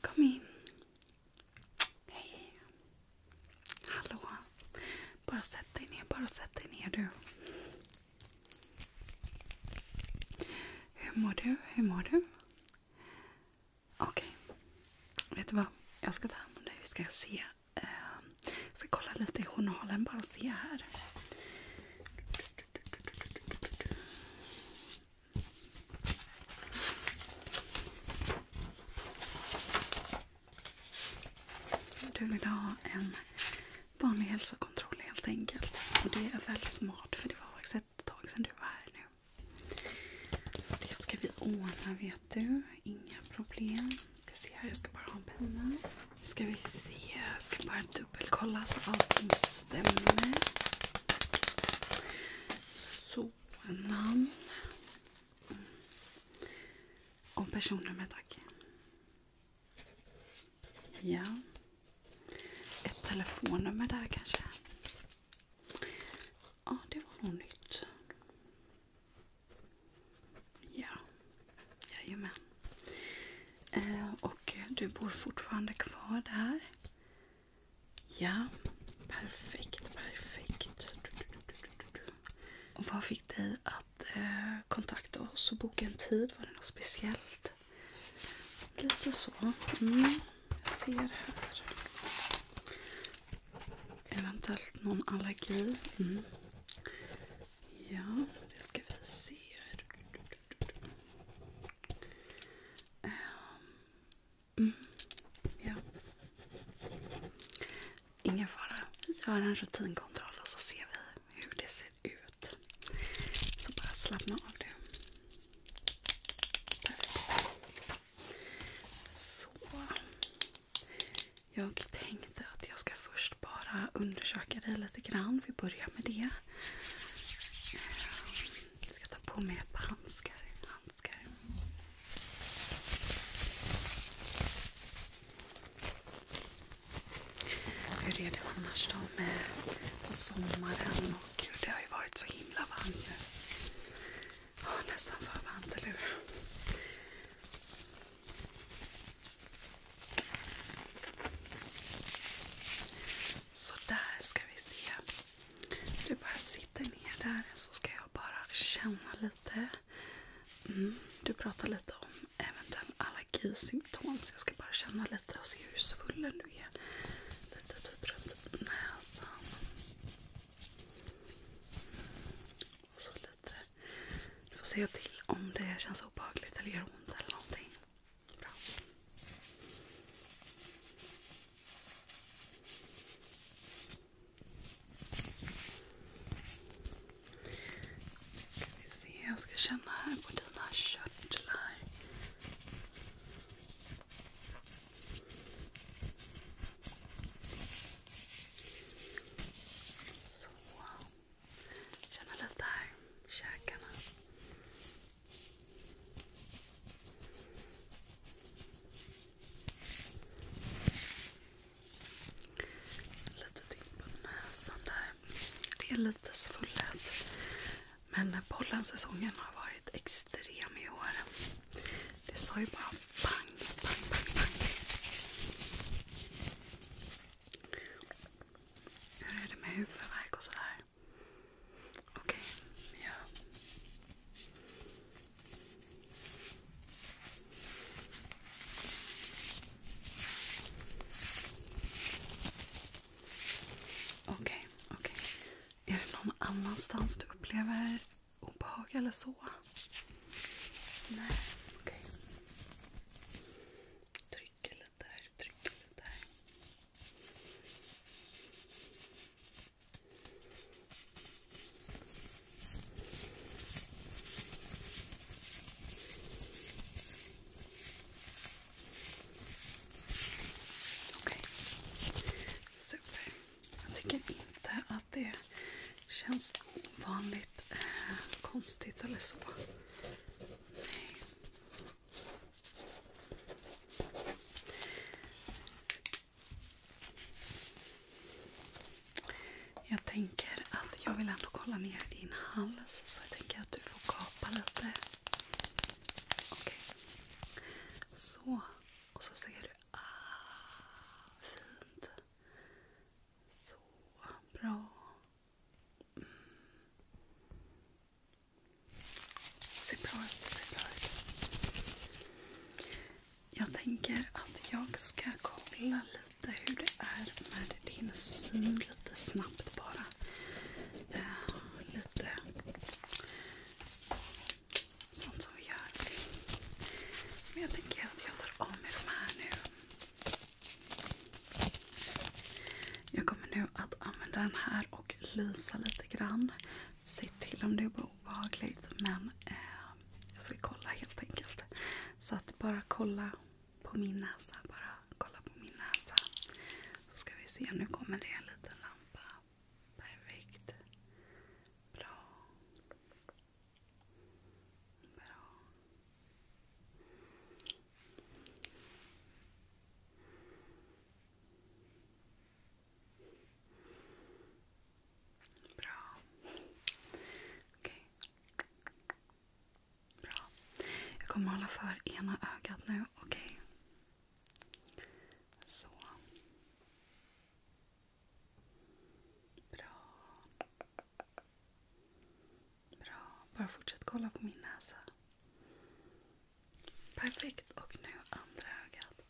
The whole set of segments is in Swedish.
Kom in. Hallå. Bara sätt dig ner, bara sätt dig ner du. Hur mår du? Hur mår du? Okej. Okay. Vet du vad? Jag ska ta hand om dig. Vi ska se. Ehm, jag ska kolla lite i journalen bara och se här. Du vill ha en vanlig hälsokontroll helt enkelt. Och det är väl smart för det var faktiskt ett tag sedan du var här nu. Så det ska vi ordna vet vet du. Inga problem. Ska se här, jag ska bara ha en penna. Ska vi se. Jag ska bara dubbelkolla så allting stämmer. Så, namn. Mm. Och personnummer tack. Ja. Ett telefonnummer där kanske. Ja, det var nog nytt. Ja, jajamän. Eh, och du bor fortfarande kvar där? Ja, perfekt, perfekt. Och vad fick dig att eh, kontakta oss och boka en tid? Var det något speciellt? Lite så. Mm. Jag ser här. Eventuellt någon allergi. Mm. Ja, det ska vi se. Ehm, mm. Ja. Ingen fara. Vi gör en rutinkontroll och så ser vi hur det ser ut. Så bara slappna av det. Så. Jag tänkte att jag ska först bara undersöka dig lite grann. Vi börjar med det. Jag ska ta på mig ett par handskar. handskar. Hur är det annars då med sommaren och det har ju varit så himla varmt nu. Oh, nästan för varmt, eller hur? Så ska vi se. Du bara sitter ner där så ska jag bara känna lite. Mm, du pratar lite om eventuella allergisymptom. Så jag ska bara känna lite och se hur svullen du är. Lite typ runt näsan. Och så lite. Du får se till om det känns obehagligt eller gör ont eller någonting. Bra. Ska vi se, jag ska känna här på dina körtlar. Så. Känna lite här i käkarna. Lite till på näsan där. Det är lite svullet. Men pollensäsongen har varit extremt extrem i år. Det sa ju bara pang, pang, pang, pang. Hur är det med huvudvärk och sådär? Okej, okay. ja. Okej, okay, okej. Okay. Är det någon annanstans du upplever obehag eller så? Nej, okej. Okay. lite här, tryck lite här. Okej, okay. super. Jag tycker inte att det känns ovanligt eh, konstigt eller så. Jag tänker att jag vill ändå kolla ner din hals så jag tänker att du får kapa lite. Okej. Okay. Så. Och så ser du. Ah, fint. Så bra. Mm. Ser bra ut. Ser bra ut. Jag tänker att jag ska kolla lite hur det är med din syn lite snabbt bara. Eh, lite Sånt som vi gör. Men jag tänker att jag tar av mig de här nu. Jag kommer nu att använda den här och lysa lite grann. Se till om det är obehagligt men eh, jag ska kolla helt enkelt. Så att bara kolla på min näsa. Bara kolla på min näsa. Så ska vi se, nu kommer det en liten lampa. Perfekt. Bra. Bra. Bra. Jag kommer hålla för ena ögat nu. Okej? Okay. Så. Bra. Bra. Bara fortsätt kolla på min näsa. Perfekt. Och nu andra ögat.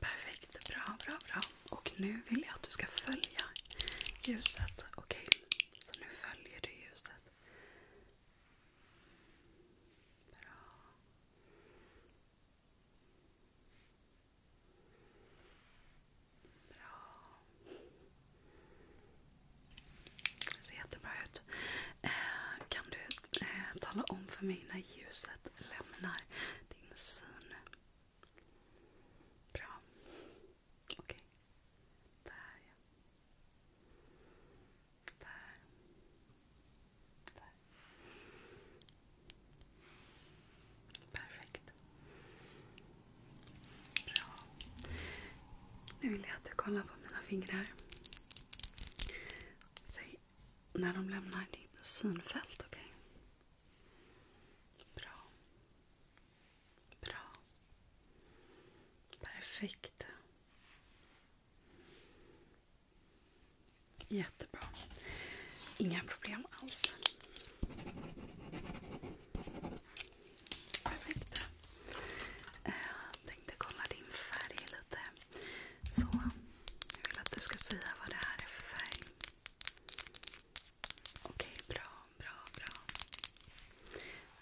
Perfekt, bra, bra, bra. Och nu vill jag att du ska följa ljuset. Okej, okay. så nu följer du ljuset. Bra. Bra. Det ser jättebra ut. Eh, kan du eh, tala om för mig när ljuset lämnar din syn. Bra. Okej. Där ja. Där. Perfekt. Bra. Nu vill jag att du kollar på mina fingrar. Säg när de lämnar ditt synfält. Okay? Bra. Bra. Perfekt. Jättebra. Inga problem alls. Perfekt. Jag eh, tänkte kolla din färg lite. Så jag vill att du ska säga vad det här är för färg. Okej, bra, bra, bra.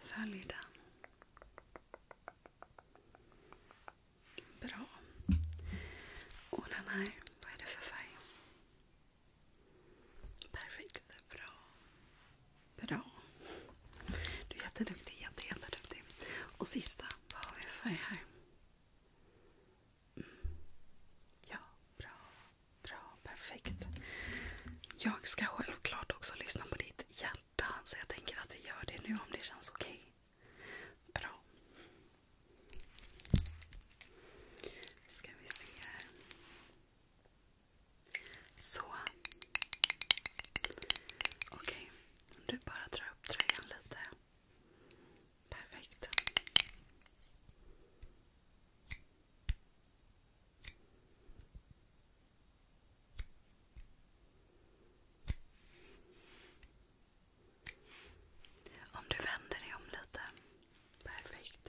Följ den. Bra. Och den här, vad är det för färg? Perfekt, bra. Bra. Du är jätteduktig, jätteduktig. Och sista, vad har vi för färg här? Ja, bra. Bra, perfekt. Jag ska självklart också lyssna på ditt hjärta. Så jag tänker att vi gör det nu om det känns okej. Okay. Bra. Nu ska vi se här. Så. Okej. Om du bara drar upp tröjan lite. Perfekt. Om du vänder dig om lite. Perfekt.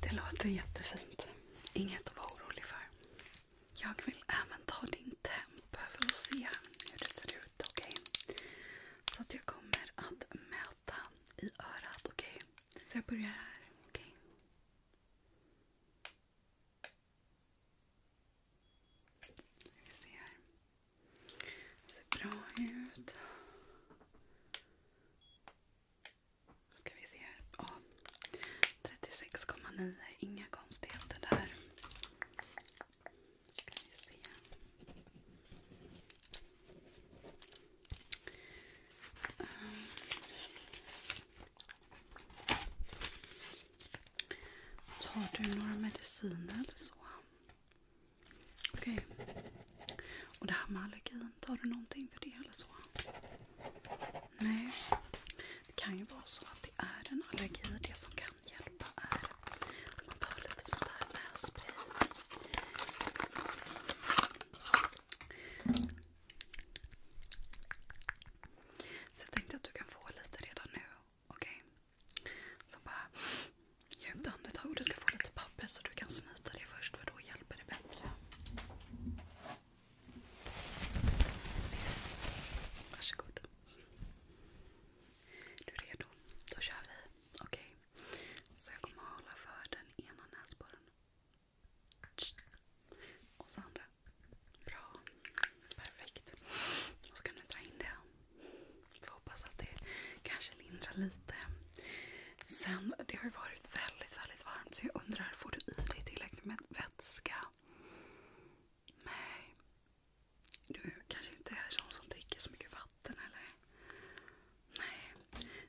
Det låter jättefint. Inget att vara orolig för. Jag vill även ta din temp för att se hur det ser ut. Okej? Okay? Så att jag kommer att mäta i örat. Okej? Okay? Så jag börjar här. Det ser bra ut ska vi se. Ja, 36,9. Inga konstigheter där. Ska vi se. Um. Tar du några mediciner eller så? Okej. Och det här med allergin, tar du någonting för det eller så? Nej. Det kan ju vara så att det är en allergi. Det som kan hjälpa är att man tar lite sånt här nässpray. Så jag tänkte att du kan få lite redan nu. Okej? Okay? Så bara djupt andetag du ska få lite papper så du kan snö snyta det först för då hjälper det bättre. Se. Varsågod. Du är redo? Då kör vi. Okej. Okay. Så jag kommer hålla för den ena näsborren. Och så andra. Bra. Perfekt. Och så kan du dra in det. Får hoppas att det kanske lindrar lite. Sen, det har ju varit väldigt, väldigt varmt så jag undrar, får du i dig tillräckligt med vätska? Nej. Du kanske inte är sån som dricker så mycket vatten eller? Nej.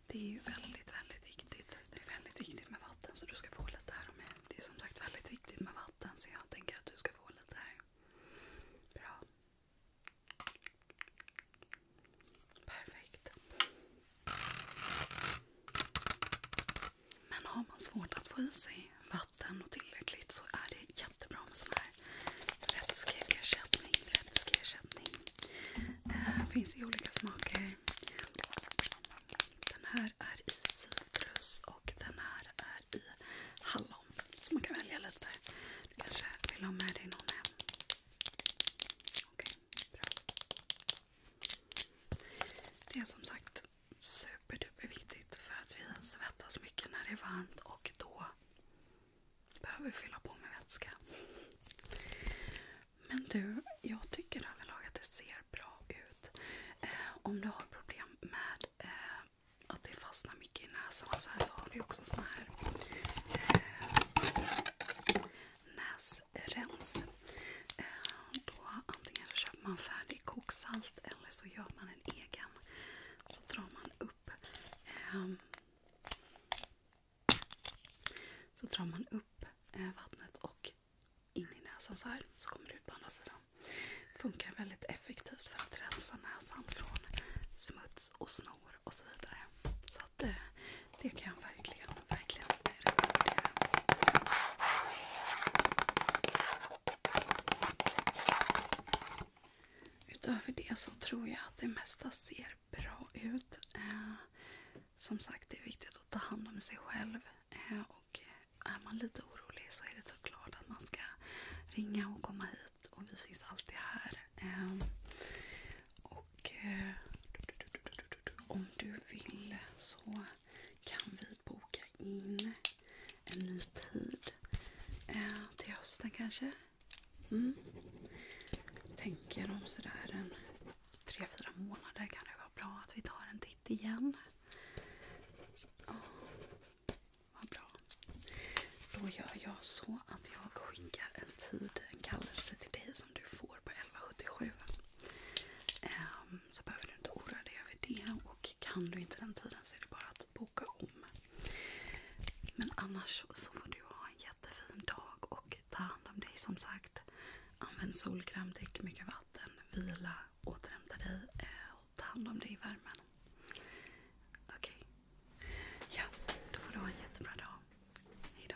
Det är ju väldigt, väldigt viktigt. Det är väldigt viktigt med vatten så du ska få lite här av Det är som sagt väldigt viktigt med vatten så jag tänker att du ska få lite här. Bra. Perfekt. Men har man svårt att få i sig vatten och tillräckligt så är det jättebra med sån här vätskeersättning. vätskeersättning. Eh, finns i olika smaker. Den här är i citrus och den här är i hallon. Så man kan välja lite. Du kanske vill ha med dig någon hem Okej, bra. Det är som sagt superduperviktigt för att vi svettas mycket när det är varmt och då behöver vi fylla på med vätska. Men du, jag tycker överlag att det ser bra ut. Eh, om du har problem med eh, att det fastnar mycket gick i näsan och så här så har vi också sån här eh, näsrens. Eh, då antingen så köper man färdig koksalt eller så gör man en egen. Så drar man upp eh, så drar man upp eh, vattnet och in i näsan så här så kommer det ut på andra sidan. Funkar väldigt effektivt för att rensa näsan från smuts och snor hår och så vidare. Så att eh, det kan jag verkligen, verkligen rekommendera. Utöver det så tror jag att det mesta ser bra ut. Eh, som sagt, det är viktigt att ta hand om sig själv. Eh, och är man lite orolig så är det såklart att man ska ringa och komma hit hit och vi finns alltid här. Ehm, och eh, om du vill så kan vi boka in en ny tid eh, till hösten kanske. Mm. Tänker om sådär en 3-4 månader kan det vara bra att vi tar en titt igen. Oh, vad bra. Då gör jag så att jag skickar en tid, en kallelse till dig som du får på 1177. Um, ehm, så behöver du inte oroa dig över det. Och kan du inte den tiden så är det bara att boka om. Men annars så får du ha en jättefin dag och ta hand om dig som sagt. Använd solkräm, drick mycket vatten, vila, återhämta dig eh, och ta hand om dig i värmen. Okej, okay. Ja, då får du ha en jättebra dag. Hejdå.